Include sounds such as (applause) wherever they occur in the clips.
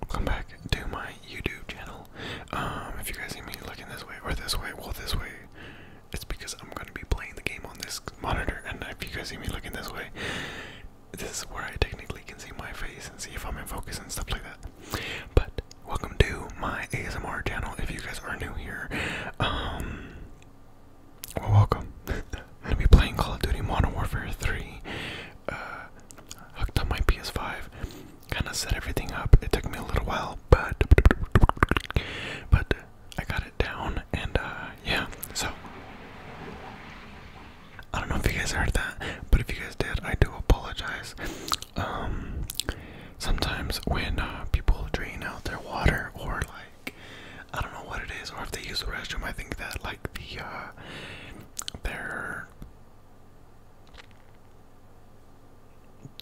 Welcome back to my YouTube channel. Um, if you guys see me looking this way or this way, well, this way, it's because I'm gonna be playing the game on this monitor. And if you guys see me looking this way, this is where I technically can see my face and see if I'm in focus and stuff like that. But welcome to my ASMR channel. If you guys are new here, um, well, welcome. I'm (laughs) gonna be playing Call of Duty Modern Warfare 3. Uh, hooked up my PS5. Kind of set everything up. It took me a little while, but but I got it down, and uh, yeah. So I don't know if you guys heard that, but if you guys did, I do apologize. Um, sometimes when uh, people drain out their water or like I don't know what it is, or if they use the restroom. I think that like the uh, their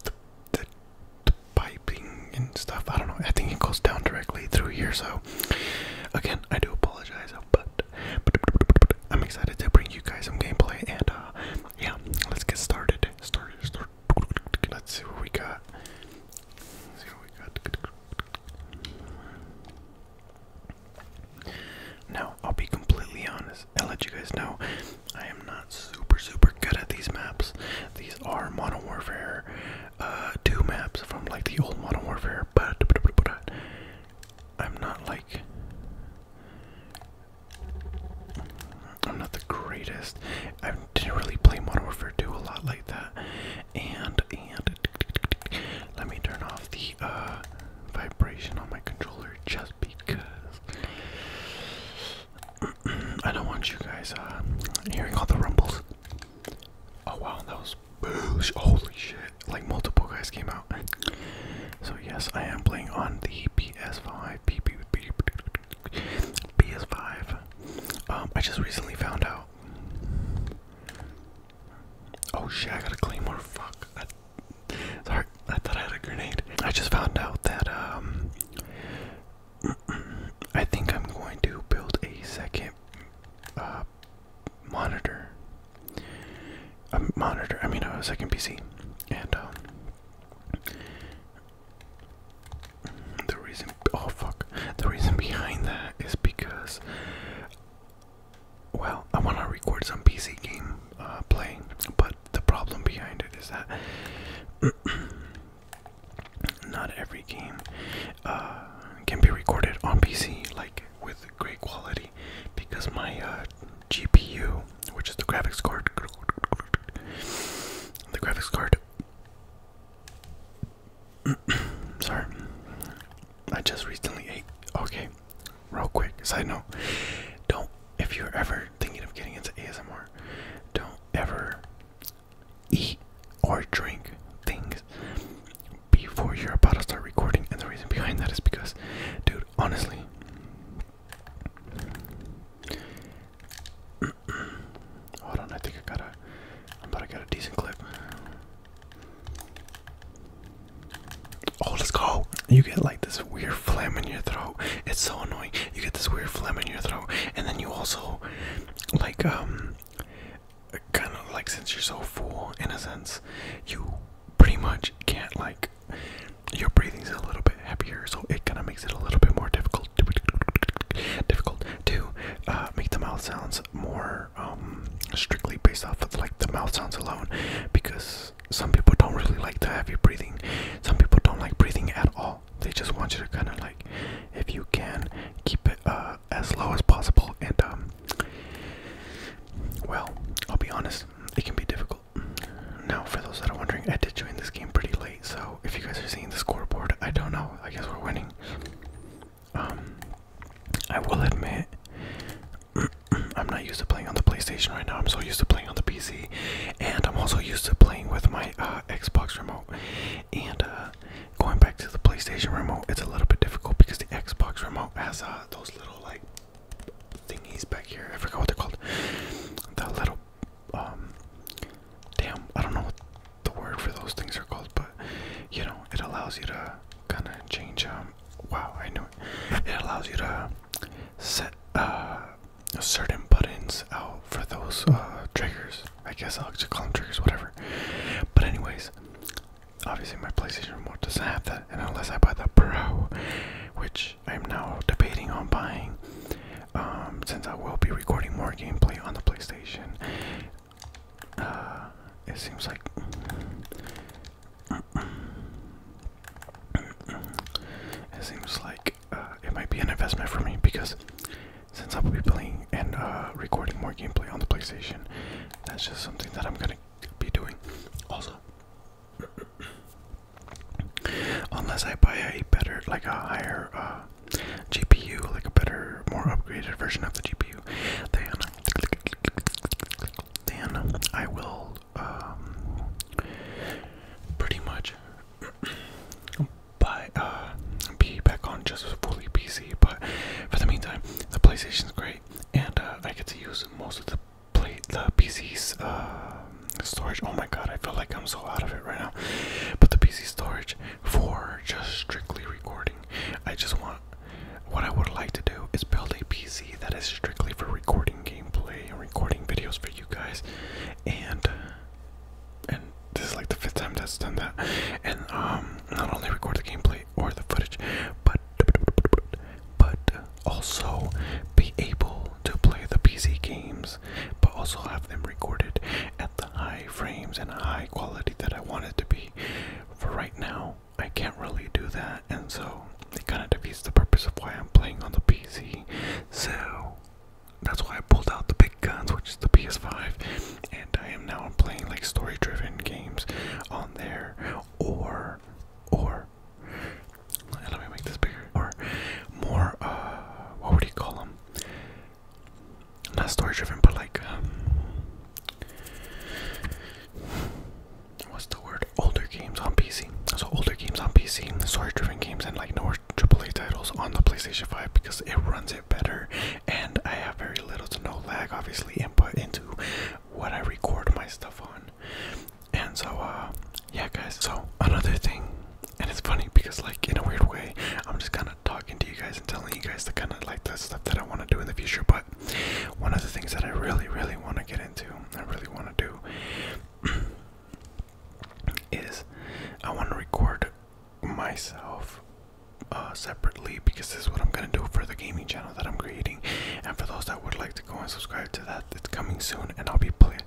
the, the, piping and stuff. I don't know. I think it goes down directly through here. So again, I do apologize, but, I'm excited to bring you guys some gameplay. And uh, yeah, let's get started. Started. Let's see what we got. Now, I'll be completely honest. I'll let you guys know I am not super, super good at these maps. These are Modern Warfare uh, 2 maps from like the old Modern Warfare, but I'm not like. I'm not the greatest I didn't really play Modern Warfare 2 a lot like that. And and let me turn off the vibration on my controller just because I don't want you guys uh, hearing all the rumbles. Oh wow, that was boosh! Holy shit! Like multiple guys came out. So yes, I am playing on the PS5. PS5. Um, I just recently found out. Oh shit! I gotta clean more. Fuck. I, sorry, I thought I had a grenade. I just found out that um, (clears throat) I think I'm going to build a second uh monitor. A monitor. I mean, a second PC, and um, the reason oh fuck the reason behind that is because well I wanna record some PC game uh play but the problem behind it is that (clears throat) not every game uh can be recorded on PC like with great quality because my uh GPU which is the graphics card the graphics card (coughs) Sorry. I just recently ate. Okay. Real quick, side note. Don't, if you're ever thinking of getting into ASMR, don't ever eat or drink things before you're about to start recording. And the reason behind that is because, dude, honestly, (clears throat) Hold on, I think I gotta. I'm about to get a decent clip. Oh, let's go! You get like this weird phlegm in your throat. It's so annoying. You get this weird phlegm in your throat, and then you also, like, um, kind of like since you're so full, in a sense, you pretty much can't like. Your breathing's a little bit heavier, so it kind of makes it a little bit more difficult to difficult to uh, make the mouth sounds more um, strictly based off of like the mouth sounds alone, because some people don't really like the heavy breathing. Some people don't like breathing at all. They just want you to kind of like, if you can, keep it uh, as low as possible. And um, well, I'll be honest, it can be difficult. Now, for those that are wondering, I did join this game pretty late so if you guys are seeing the scoreboard, I don't know. I guess we're winning. Um, I will admit, (clears throat) I'm not used to playing on the PlayStation right now. I'm so used to playing on the PC, and I'm also used to playing with my uh, Xbox remote. And uh, going back to the PlayStation remote, it's a little bit difficult because the Xbox remote has uh, those little like thingies back here. I forgot what they're called. The little um, damn, I don't know what the word for those things are called, but you know, it allows you to kind of change. Um, wow, I knew it. It allows you to set uh, certain buttons out for those uh, triggers. I guess I'll just call them triggers, whatever. But anyways, obviously my PlayStation remote doesn't have that, and unless I buy the Pro, which I'm now debating on buying, um, since I will be recording more gameplay on the PlayStation. Uh, it seems like it seems like uh, it might be an investment for me because since I will be playing and uh, recording more gameplay on the PlayStation, that's just something that I'm gonna be doing. Also. Unless I buy a better, like a higher uh, GPU, like a better, more upgraded version of the GPU, then, then I will um, pretty much buy, uh, be back on just fully PC. But for the meantime, the PlayStation is great, and uh, I get to use most of the play the PC's. Uh, storage. Oh my god, I feel like I'm so out of it right now. But the PC storage for just strictly recording. I just want what I would like to do is build a PC that is strictly for recording gameplay and recording videos for you guys. And and this is like the fifth time that's done that. And um not only record the gameplay or the footage, but but also be able to play the PC games but also have them recorded at the high frames and high quality that I want it to be. For right now, I can't really do that, and so it kind of defeats the purpose of why I'm playing on the PC. So that's why I pulled out the big guns, which is the PS5, and I am now playing like story-driven games on there, or or let me make this bigger. Or more, uh, what would you call them? Not story driven, but like, um, what's the word? Older games on PC. So, older games on PC, story driven games, and like no AAA titles on the PlayStation 5 because it runs it better. And I have very little to no lag, obviously, input into what I record my stuff on. And so, uh, yeah, guys. So, another thing, and it's funny because, like, in a weird way, I'm just kind of talking to you guys and telling you guys the kind of like the stuff that I want to do in the future. But one of the things that I really, really want to get into, I really want to do, (clears throat) is I want to record myself uh, separately because this is what I'm gonna do for the gaming channel that I'm creating. And for those that would like to go and subscribe to that, it's coming soon, and I'll be playing.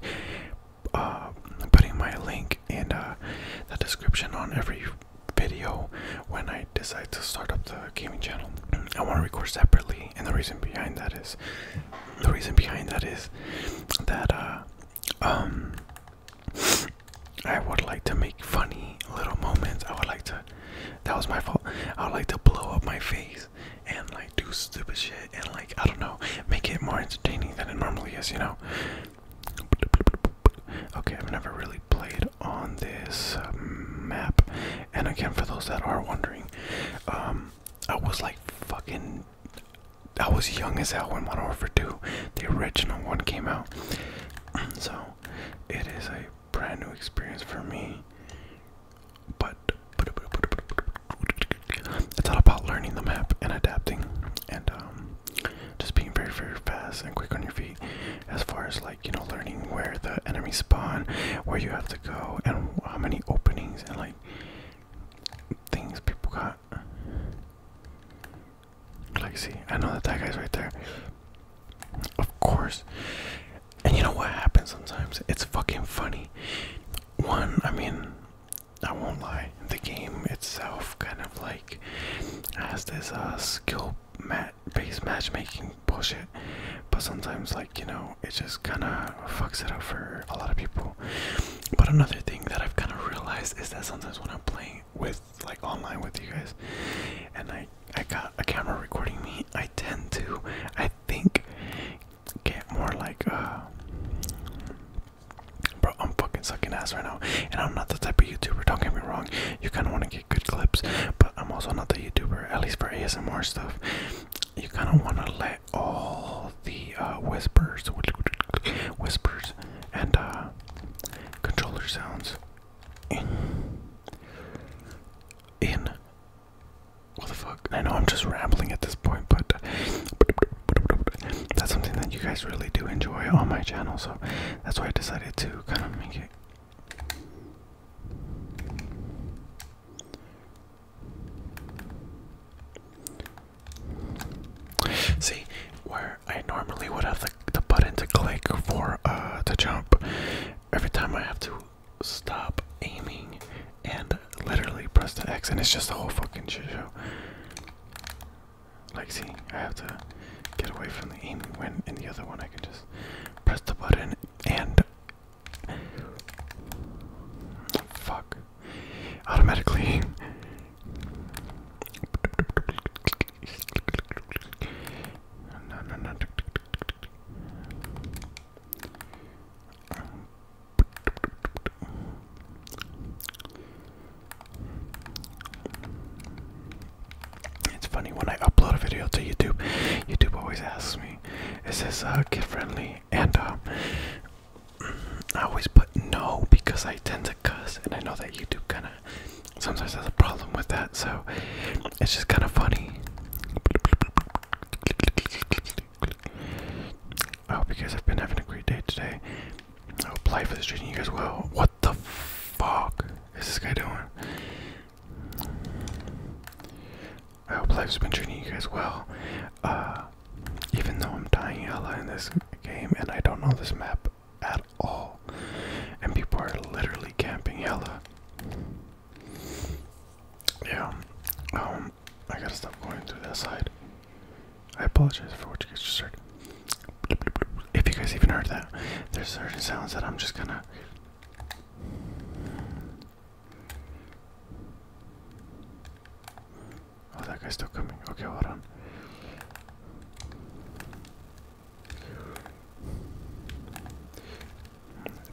Uh, putting my link in uh, the description on every video when I decide to start up the gaming channel. I want to record separately, and the reason behind that is the reason behind that is that uh, um, I would like to make funny little moments. I would like to. That was my fault. I would like to blow up my face and like do stupid shit and like I don't know, make it more entertaining than it normally is, you know. Okay, I've never really played on this um, map, and again, for those that are wondering, um, I was like fucking, I was young as hell when Modern Warfare 2, the original one, came out. (clears throat) So, it is a brand new experience for me but it's all about learning the map and adapting and um, just being very, very fast and quick on your feet as far as like, you know, learning where the enemies spawn, where you have to go, and how many openings and like things people got. Like, see, I know that that guy's right there. Of course. And you know what happens sometimes? It's fucking funny one, I mean, I won't lie, the game itself kind of like has this uh, skill mat based matchmaking bullshit, but sometimes, like, you know, it just kind of fucks it up for a lot of people. But another thing that I've kind of realized is that sometimes when I'm playing with like online with you guys and I I got a camera recording me, I tend to, I think, get more like uh Bro, I'm fucking sucking ass right now, and I'm not the type of YouTuber. Don't get me wrong, you kind of want to get good clips, but I'm also not the YouTuber, at least for ASMR stuff. You kind of want to let all the uh, whispers, whispers, and uh, controller sounds in, in, what the fuck? I know I'm just rambling at this point, but that's something that you guys really do enjoy on my channel, so that's why I decided to kind of make it. See, where I normally would have the, the button to click for uh, to jump, every time I have to stop aiming and literally press the X, and it's just a whole fucking shit show. Like, see, I have to get away from the aim. when in the other one I can just press the button and. Fuck. Automatically. (laughs) It's funny when I upload a video to YouTube, YouTube always asks me, is this uh, kid friendly? And um, I always put no because I tend to cuss, and I know that YouTube kind of sometimes has a problem with that, so it's just kind of funny. I hope you guys have been having a great day today. I hope life is treating you guys well. What the fuck is this guy doing? I hope life's been treating you guys well. Uh, even though I'm dying hella in this game and I don't know this map at all, and people are literally camping hella. Yeah. Um, I gotta stop going through that side. I apologize for what you guys just heard. If you guys even heard that, there's certain sounds that I'm just gonna. Oh, that guy's still coming. Okay, hold on.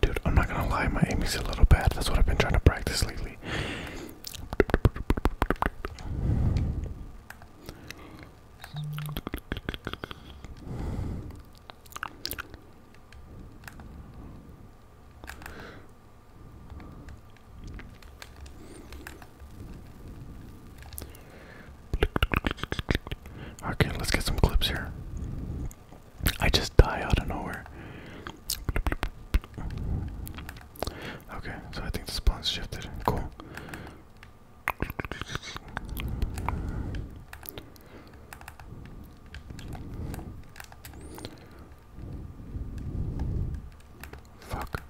Dude, I'm not gonna lie, my aim is a little bad. That's what I've been trying to practice lately. Okay, let's get some clips here. I just die out of nowhere. Okay, so I think the spawn's shifted. Cool. Fuck.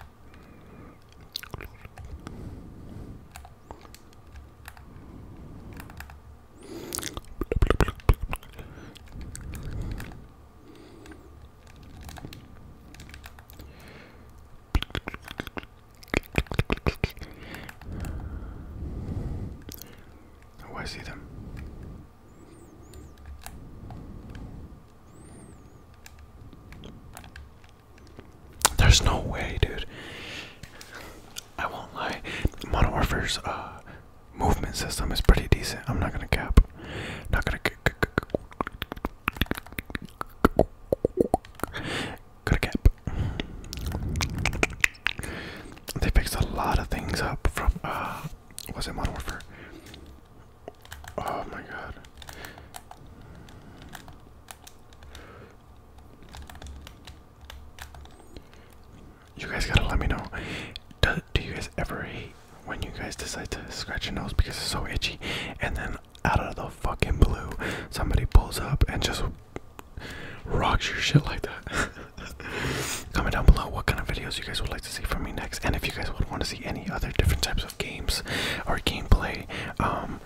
Oh, I see them. There's no way, dude. I won't lie, Modern uh, movement system is pretty decent. I'm not gonna cap. Not gonna. Gotta cap. They fixed a lot of things up from. Uh, was it Modern Oh my god you guys gotta let me know. Do, you guys ever when you guys decide to scratch your nose because it's so itchy, and then out of the fucking blue, somebody pulls up and just rocks your shit like that? (laughs) Comment down below what kind of videos you guys would like to see from me next, and if you guys would want to see any other different types of games or gameplay. Um,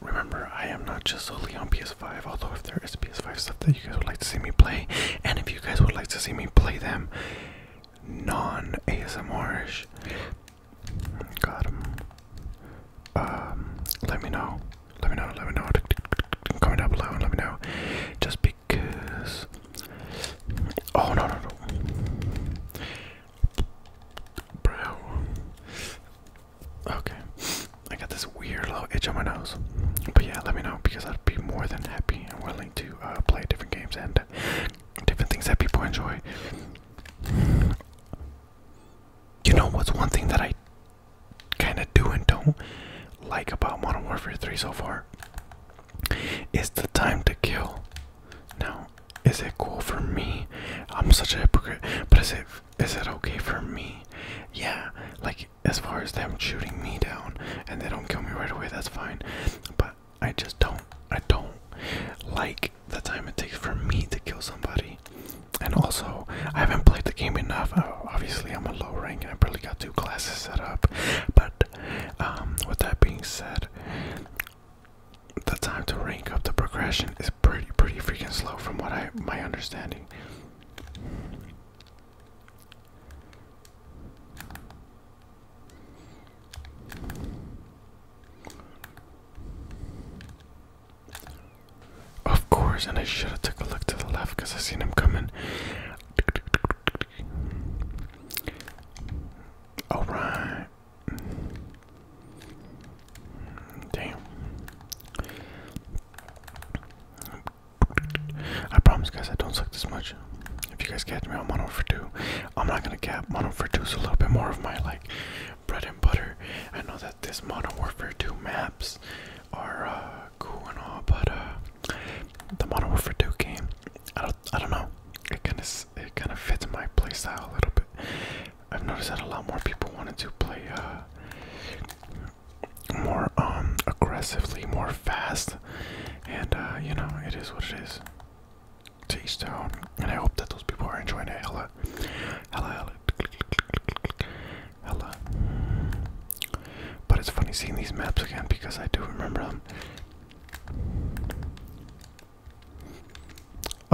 remember, I am not just solely on PS. 5 Although, if there is PS5 stuff that you guys would like to see me play, and if you guys would like to see me play them non ASMRish, got him. Um, let me know. Let me know. Let me know. Comment down below and let me know. Just because. Oh no no no. Bro. Okay. I got this weird little itch on my nose. But yeah, let me know because I'd be more than happy and willing to uh, play different games and different things that people enjoy. You know what's one thing that I kind of do and don't like about Modern Warfare 3 so far? Is the time to kill. Now, is it cool for me? I'm such a hypocrite, but is it is that okay for me? Yeah, like as far as them shooting me down and they don't kill me right away, that's fine. But I just don't, I don't like the time it takes for me to kill somebody. And also, I haven't played the game enough. Uh, obviously, I'm a low rank and I barely got two classes set up. But um, with that being said, the time to rank up the progression is pretty, pretty freaking slow from what I my understanding. Of course, and I should have took a look to the left because I seen him coming. All right. Damn. I promise, guys, I don't suck this much. If you guys catch me on mono for two, I'm not gonna cap mono for two. So a little bit more of my like bread and butter. I know that this mono warfare two maps are uh, cool and all, but uh, the mono warfare two game, I don't, I don't know. It kind of, it kind of fits my playstyle a little bit. I've noticed that a lot more people wanted to play uh, more um, aggressively, more fast, and uh, you know, it is what it is. To each and I hope that those people are enjoying it. Hella, hella, hella, hella. But it's funny seeing these maps again because I do remember them. (laughs)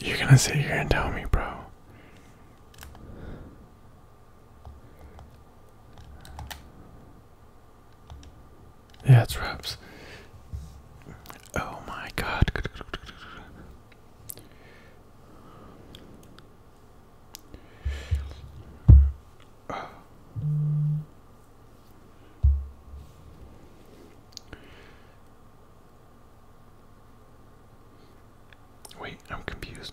You're gonna sit here and tell me, bro. Yeah, it's wraps. Oh my god. Wait, I'm confused.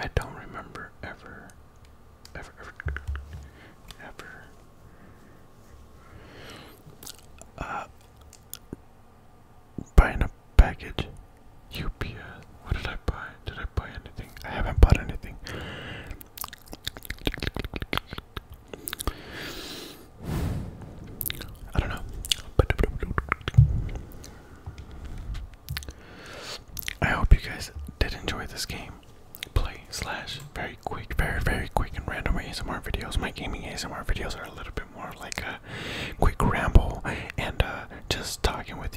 I don't remember ever, ever, ever, ever. Uh, buying a package. UPS. What did I buy? Did I buy anything? I haven't bought anything. I don't know. I hope you guys did enjoy this game. Play slash very quick, very very quick and random ASMR videos. My gaming ASMR videos are a little bit more like a quick ramble and uh, just talking with